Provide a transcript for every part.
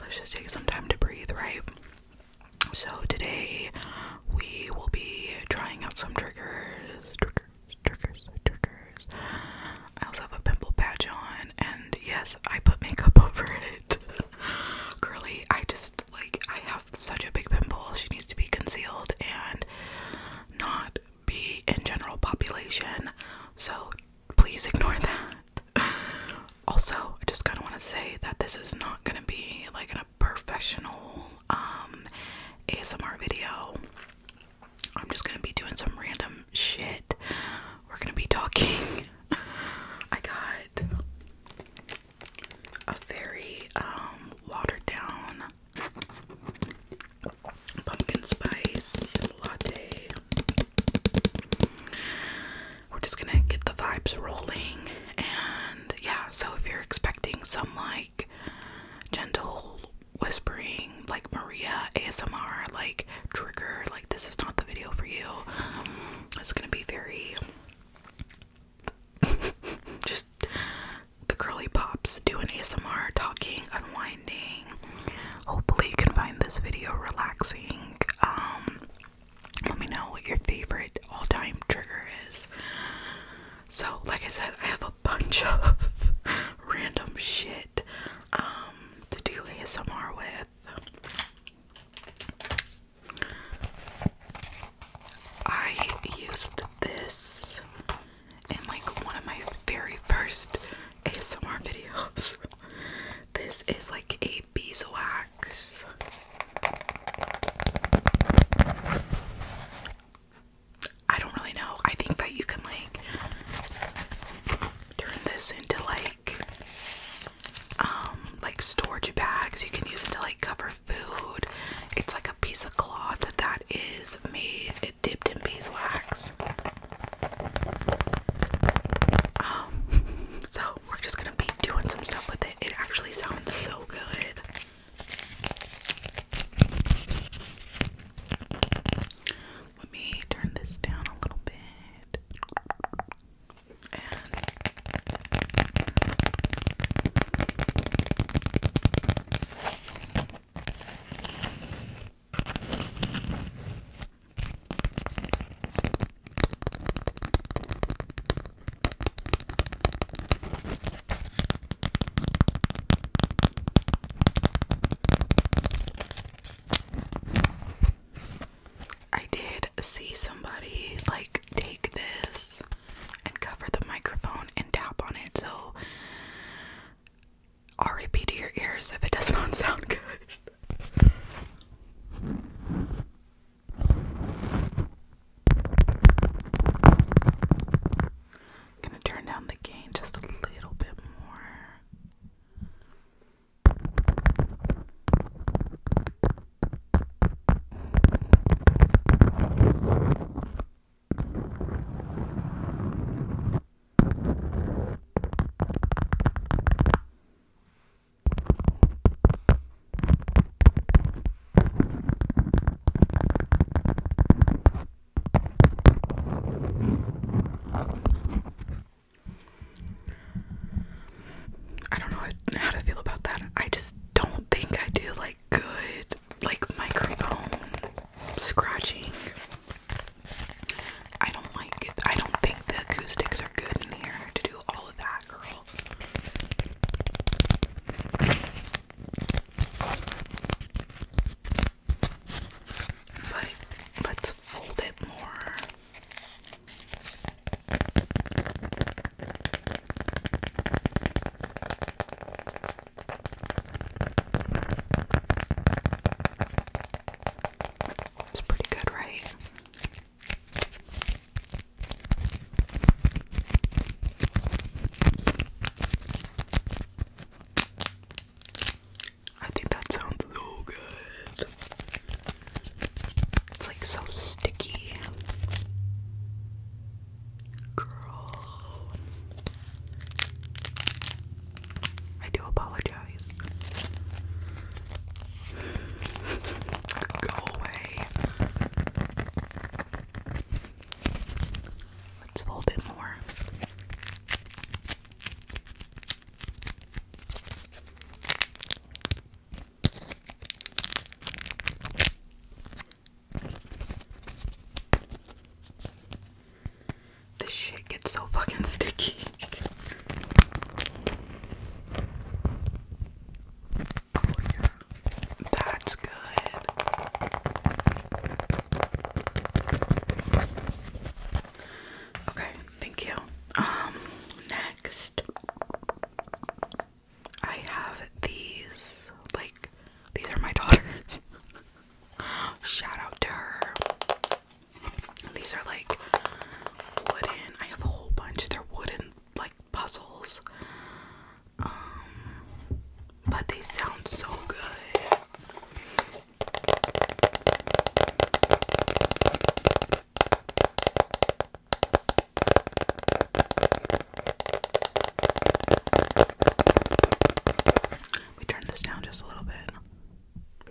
let's just take some time to breathe, right? So, today we will be trying out some triggers. Triggers, triggers, triggers. I also have a pimple patch on, and yes, I put makeup over it. Curly, I just like, I have such a big pimple, she needs to be concealed and not be in general population. So, please ignore that. also, I just kind of want to say that this is not going to be like a professional um, ASMR video. I'm just going to be doing some random shit. We're going to be talking. I got a very um, watered down pumpkin spice latte we're just gonna get the vibes rolling, and yeah, so if you're expecting some like gentle whispering, like Maria ASMR, like trigger, like this is not the video for you, it's gonna be very just the curly pops doing ASMR, talking, unwind Hopefully, you can find this video relaxing. Um, let me know what your favorite all time trigger is. So, like I said, I have a bunch of random shit um, to do ASMR with. I used this in like one of my very first ASMR videos. This is like a beeswax. I don't really know. I think that you can like turn this into like um like storage bags. You can use it to like cover food. It's like a piece of cloth that is made it dipped in beeswax. Um, so we're just gonna be doing some stuff with it. It actually sounds so good. Let me turn this down a little bit. I did see somebody like take this and cover the microphone and tap on it, so R.I.P. to your ears if it does not sound good. gonna turn down the gain just a little bit more. I don't know how to feel about that. I just don't think I do like good, like microphone scratching. I don't like it. I don't think the acoustics are good in here to do all of that, girl. But let's fold it more. It's pretty good, right? I think that sounds so good. It's like so sticky. Girl. I do apologize. Go away. Let's fold it more. This shit gets so fucking sticky. That's good. Okay, thank you. Um, next, I have these. Like, these are my daughters. Shout out to her. These are like wooden. I have a whole bunch. They're wooden like puzzles. Um, but they sound so good. We turn this down just a little bit.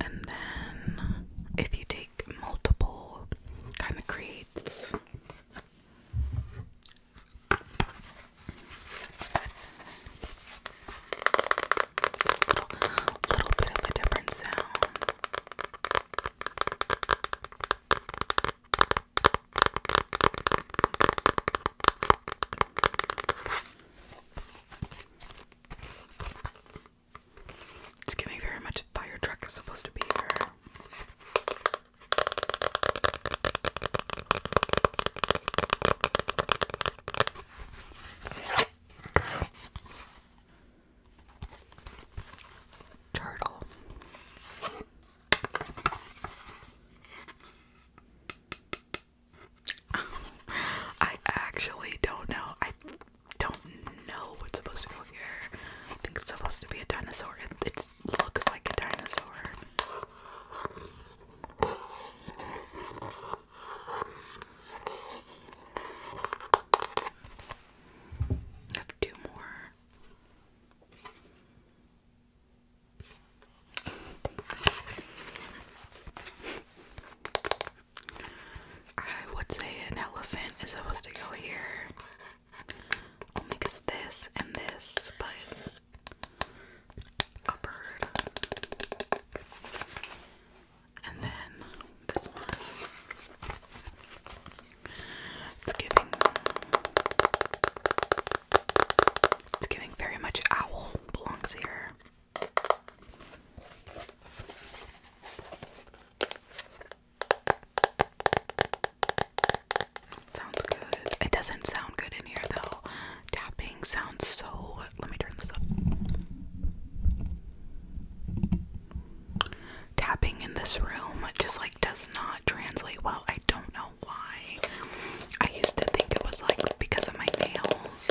And then if you take multiple kind of creates little bit of a different sound. It's giving me very much fire truck is supposed to be here. Turtle. I actually don't know. I don't know what's supposed to go here. I think it's supposed to be a dinosaur. It, looks like a dinosaur. I have two more. I would say an elephant is supposed to go here. Only this and this, but a bird. And then this one. It's giving. It's giving very much owl belongs here. Sounds good. It doesn't sound good in here though. Tapping sounds so. Let me turn this up. Tapping in this room just like does not translate well. I don't know why. I used to think it was like because of my nails.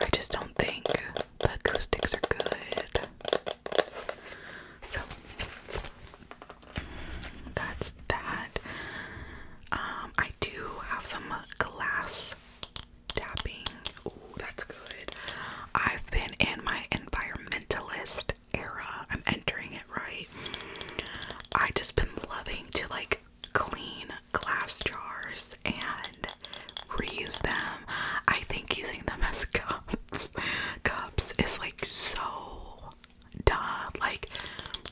I just don't think the acoustics are good. So that's that. Um, I do have some glass tapping. Ooh, that's good. I've been in my environmentalist era. I'm entering it right. I just been loving to like clean glass jars and reuse them. I think using them as cups cups is like so dumb. Like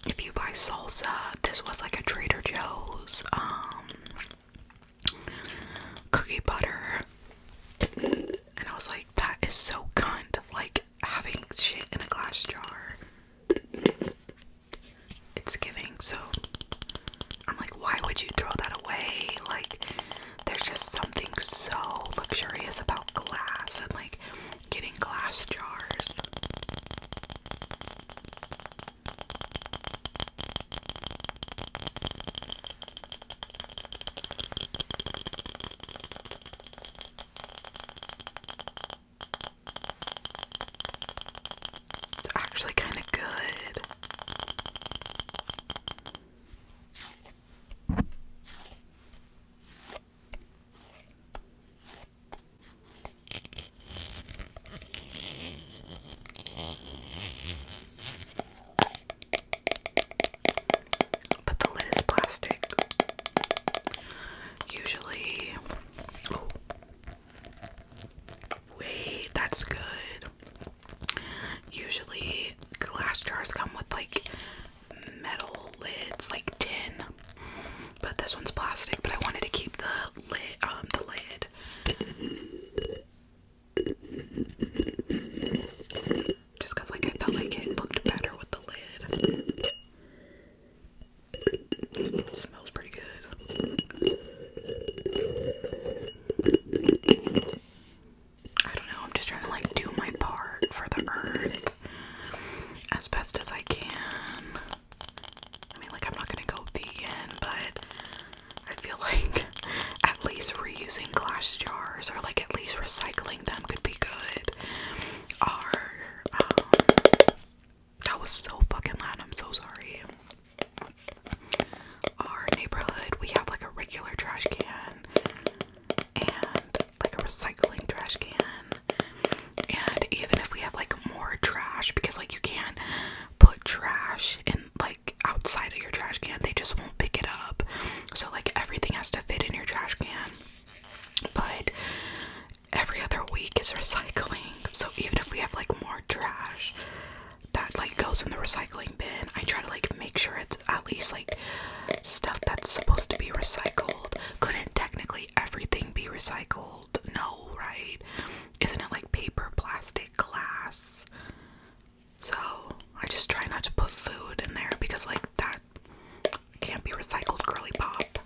if you buy salsa, this was like a Trader Joe's um cookie butter. And I was like, that is so kind of like having shit in a glass jar it's giving. So I'm like, why would you throw that away? Like, there's just something so luxurious about glass and like getting glass jars. They're actually kind of good. But the lid is plastic. Usually, Wait, that's good. Usually, glass jars come with like metal lids, like tin. But this one's plastic. But I wanted to keep the lid, um, the lid. Just cause like I felt like it looked better with the lid. It smells pretty good. I don't know, I'm just trying to like do my part for the earth as best as I can. I mean, like, I'm not gonna go vegan, but I feel like at least reusing glass jars or like at least recycling them could be good. Or, that was so fucking loud. I'm so sorry. Our neighborhood, we have like a regular trash can and like a recycling trash can. And even if we have like more trash, because like you can't put trash in like outside of your trash can, they just won't pick it up. So like everything has to fit in your trash can. But every other week is recycling. So even if we have like more trash that like goes in the recycling bin, I try to like make sure it's at least like stuff that's supposed to be recycled. Couldn't technically everything be recycled? No, right? Isn't it like paper, plastic, glass? So I just try not to put food in there because like that can't be recycled curly pop.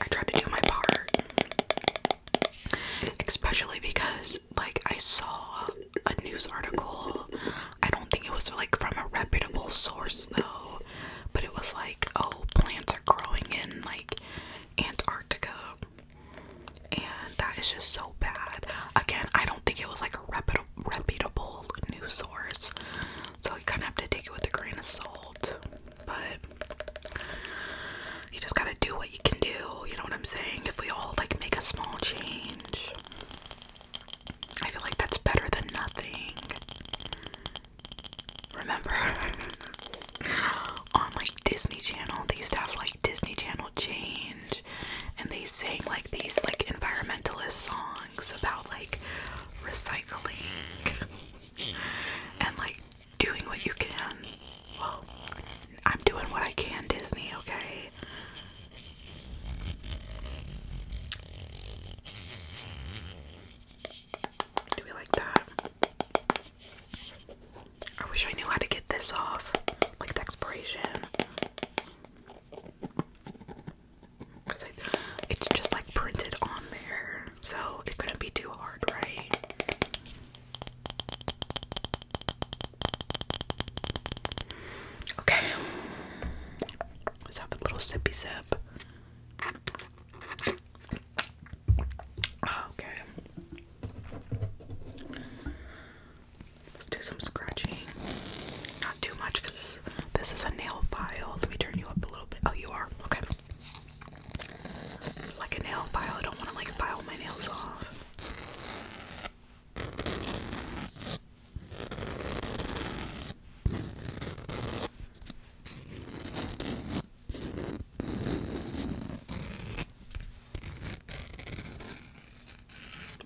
I tried to do my part. Especially because, like, I saw a news article. I don't think it was, like, from a reputable source, though. But it was like, oh, plants are growing in, like, Antarctica. And that is just so bad. Again, I don't think it was, like, a reputable, reputable news source. So you kind of have to take it with a grain of salt but you just gotta do what you can do, you know what I'm saying? If we all like make a small change, I feel like that's better than nothing. Remember on like Disney Channel, they used to have like Disney Channel change and they sang like these like environmentalist songs about like recycling and like doing what you can. Well, I'm doing what I can, Disney, okay? Do we like that? I wish I knew how to get this off, like the expiration. Cause it's just like printed on there so it couldn't be too hard, right? Okay, let's have a little sippy sip. Ah, okay, let's do some scratching. Not too much because this is a nail file. Let me turn you up a little bit. Oh, you are okay. It's like a nail file. I don't want to like file my nails off.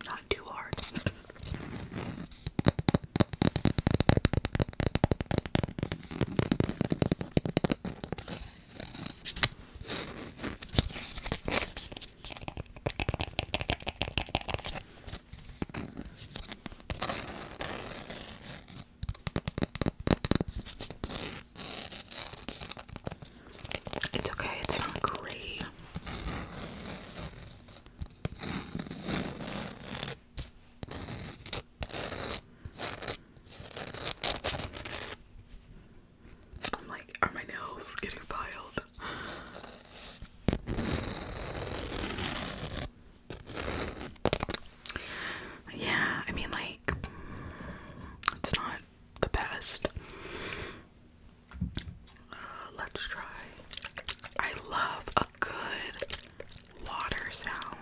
Not too hard. It's okay, it's not gray. I'm like, are my nails getting filed? Yeah, I mean, like, it's not the best. Uh, let's try. I love good water sound.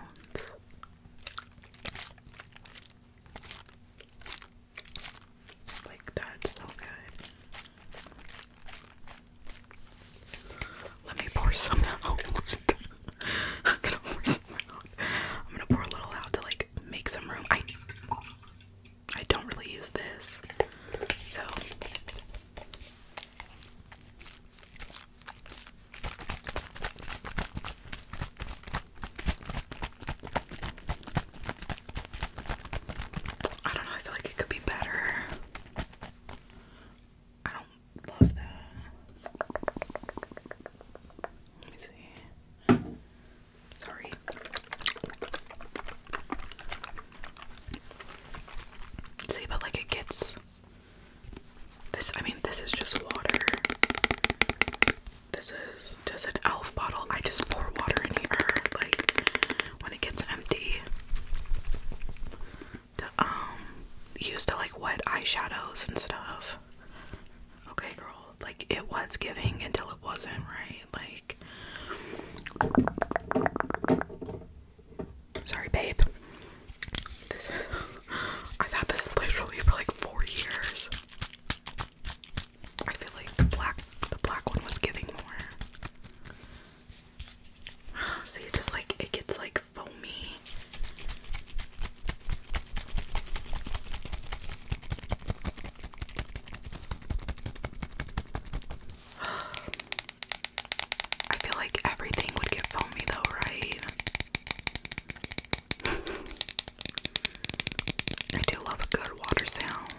Like that's so good. Let me pour some out. I'm gonna pour a little out to like make some room. I I don't really use this. So I don't know, I feel like it could be better. I don't love that. Let me see. Sorry. See, but like it gets this, I mean, this is just water. This is does an elf bottle. I just pour water in here, like when it gets empty. um, used to like wet eyeshadows and stuff. Okay, girl. Like it was giving until it wasn't, right? Like. Sorry, babe. I've had this literally for like four years. I feel like the black, the black one was giving more. See, just like it gets like foamy. I feel like everything would get foamy though, right? I do love a good water sound.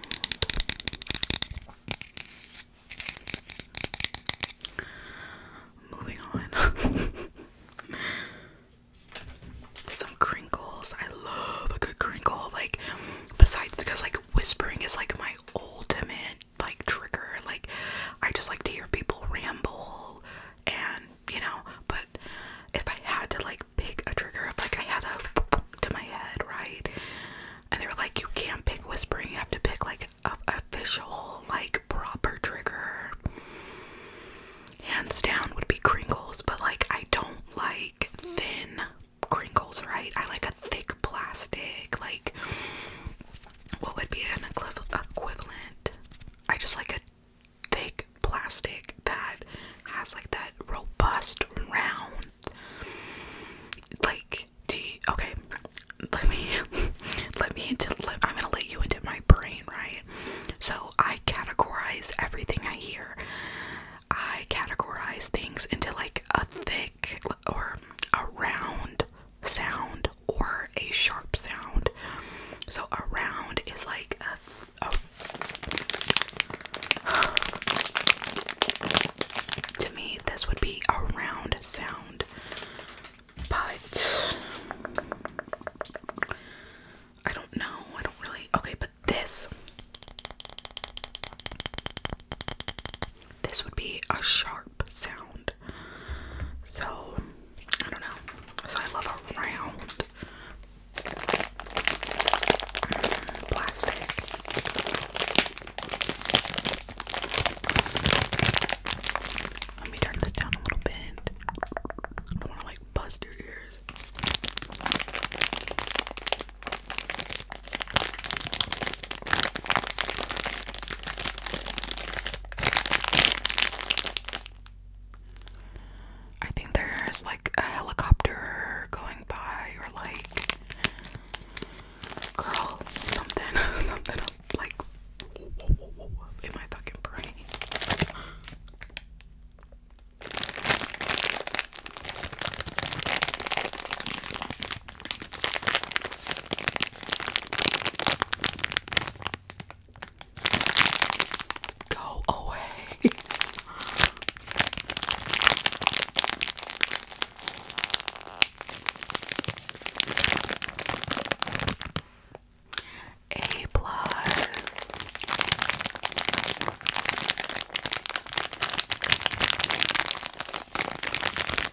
Moving on. Some crinkles. I love a good crinkle. Like, besides, because like whispering is like my ultimate like trigger. Like I just like to hear people ramble and you know, but if I had to like pick a trigger, if like I had a to my head, right? And they are like, you can't pick whispering, you have to pick like a official, like proper trigger. Hands down would be crinkles, but like I don't like thin crinkles, right? I like a thick plastic, like what would be an equivalent? I just like a thick plastic that has like that robust round. Like, do okay. Let me, let me into. Let, I'm gonna let you into my brain, right? So I categorize everything I hear. I categorize things into like a thick or a round sound or a sharp sound. So a round is like to me this would be a round sound. But I don't know. I don't really okay, but this this would be a sharp sound. So I don't know. So I love a round plastic. Let me turn this down a little bit. I want to like bust your ears. I think there's like a helicopter going by, or like, girl, something, something like in my fucking brain. Go away. A plus.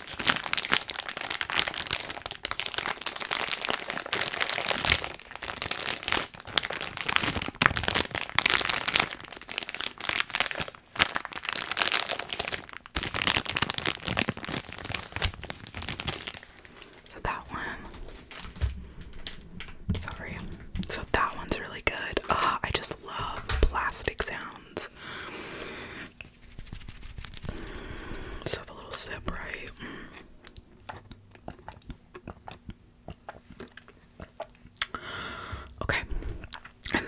So that one, sorry. So that one's really good. Uh, I just love plastic sounds. Let's have a little sip, right? Okay, and then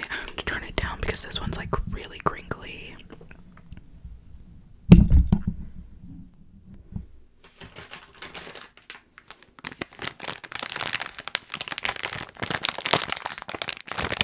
I, have to turn it down because this one's like really crinkly.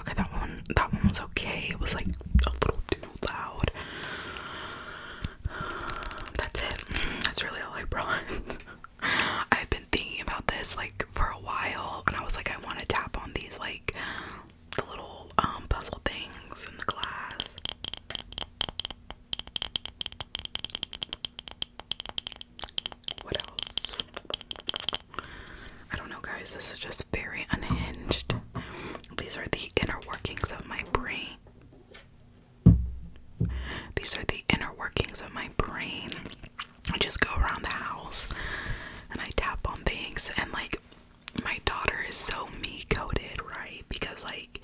Okay, that one that one was okay. It was like a little too loud. That's it. That's really all I brought. I've been thinking about this like for a while and I was like I want to tap on these like the little um, puzzle things in the glass. What else? I don't know, guys. This is just very unhinged. These are the inner workings of my brain. These are the inner workings of my brain. I just go around the house and I tap on things, and like my daughter is so me coded, right? Because like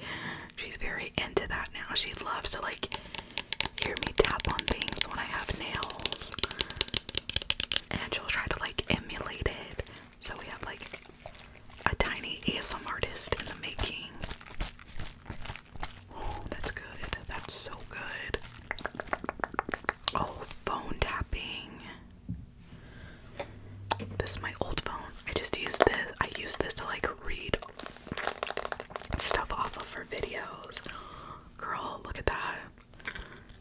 she's very into that now. She loves to like hear me tap on things when I have nails. And try to like emulate it. So we have like a tiny ASM artist in the making. Oh, that's good. That's so good. Oh, phone tapping. This is my old phone. I just use this. I use this to like read stuff off of her videos. Girl, look at that.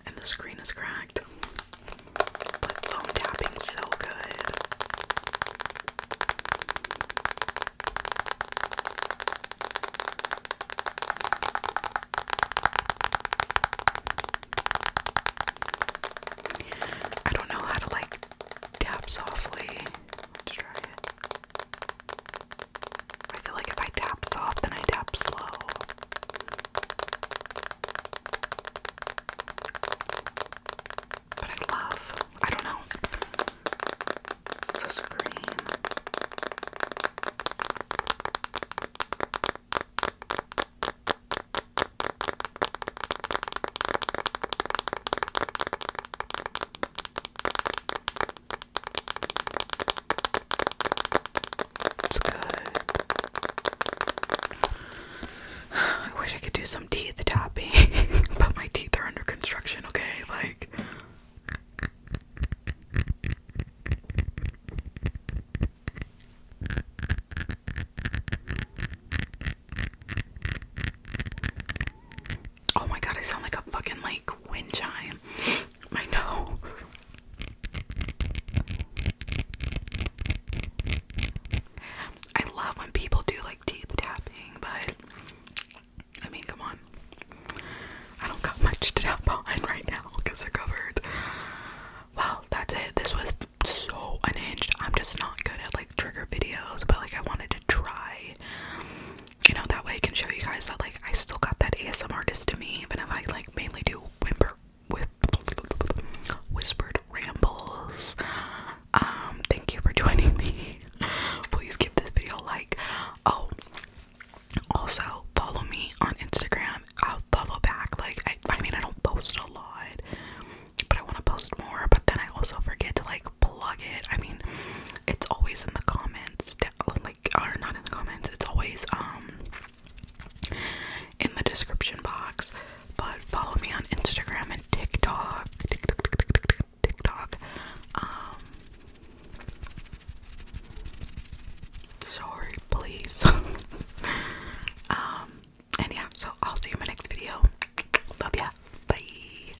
And the screen is cracked. phone tapping's so good. I don't know how to like tap softly to try it. I feel like if I tap soft, then I tap slow. But I love, I don't know, it's the it's good. I wish I could do some teeth tapping, but my teeth are under construction, okay? Like. Oh my god, I sound like a fucking like wind chime. I know. I love when people do like teeth tapping, but I mean, come on. I don't got much to tap on right now because they're covered. Well, that's it. This was so unhinged. I'm just not good at like trigger videos, but like I wanted to try you know, that way I can show you guys that like I still got that ASMR to me, even if I like mainly do whimper with whispered rambles. Um, thank you for joining me. Please give this video a like. Oh, also follow me on Instagram. I'll follow back. Like, I, I mean, I don't post a lot, but I want to post more. But then I also forget to like plug it. I mean, it's always in the comments like or not in the comments it's always um in the description box but follow me on Instagram and TikTok TikTok TikTok TikTok um sorry please um and yeah so I'll see you in my next video love ya bye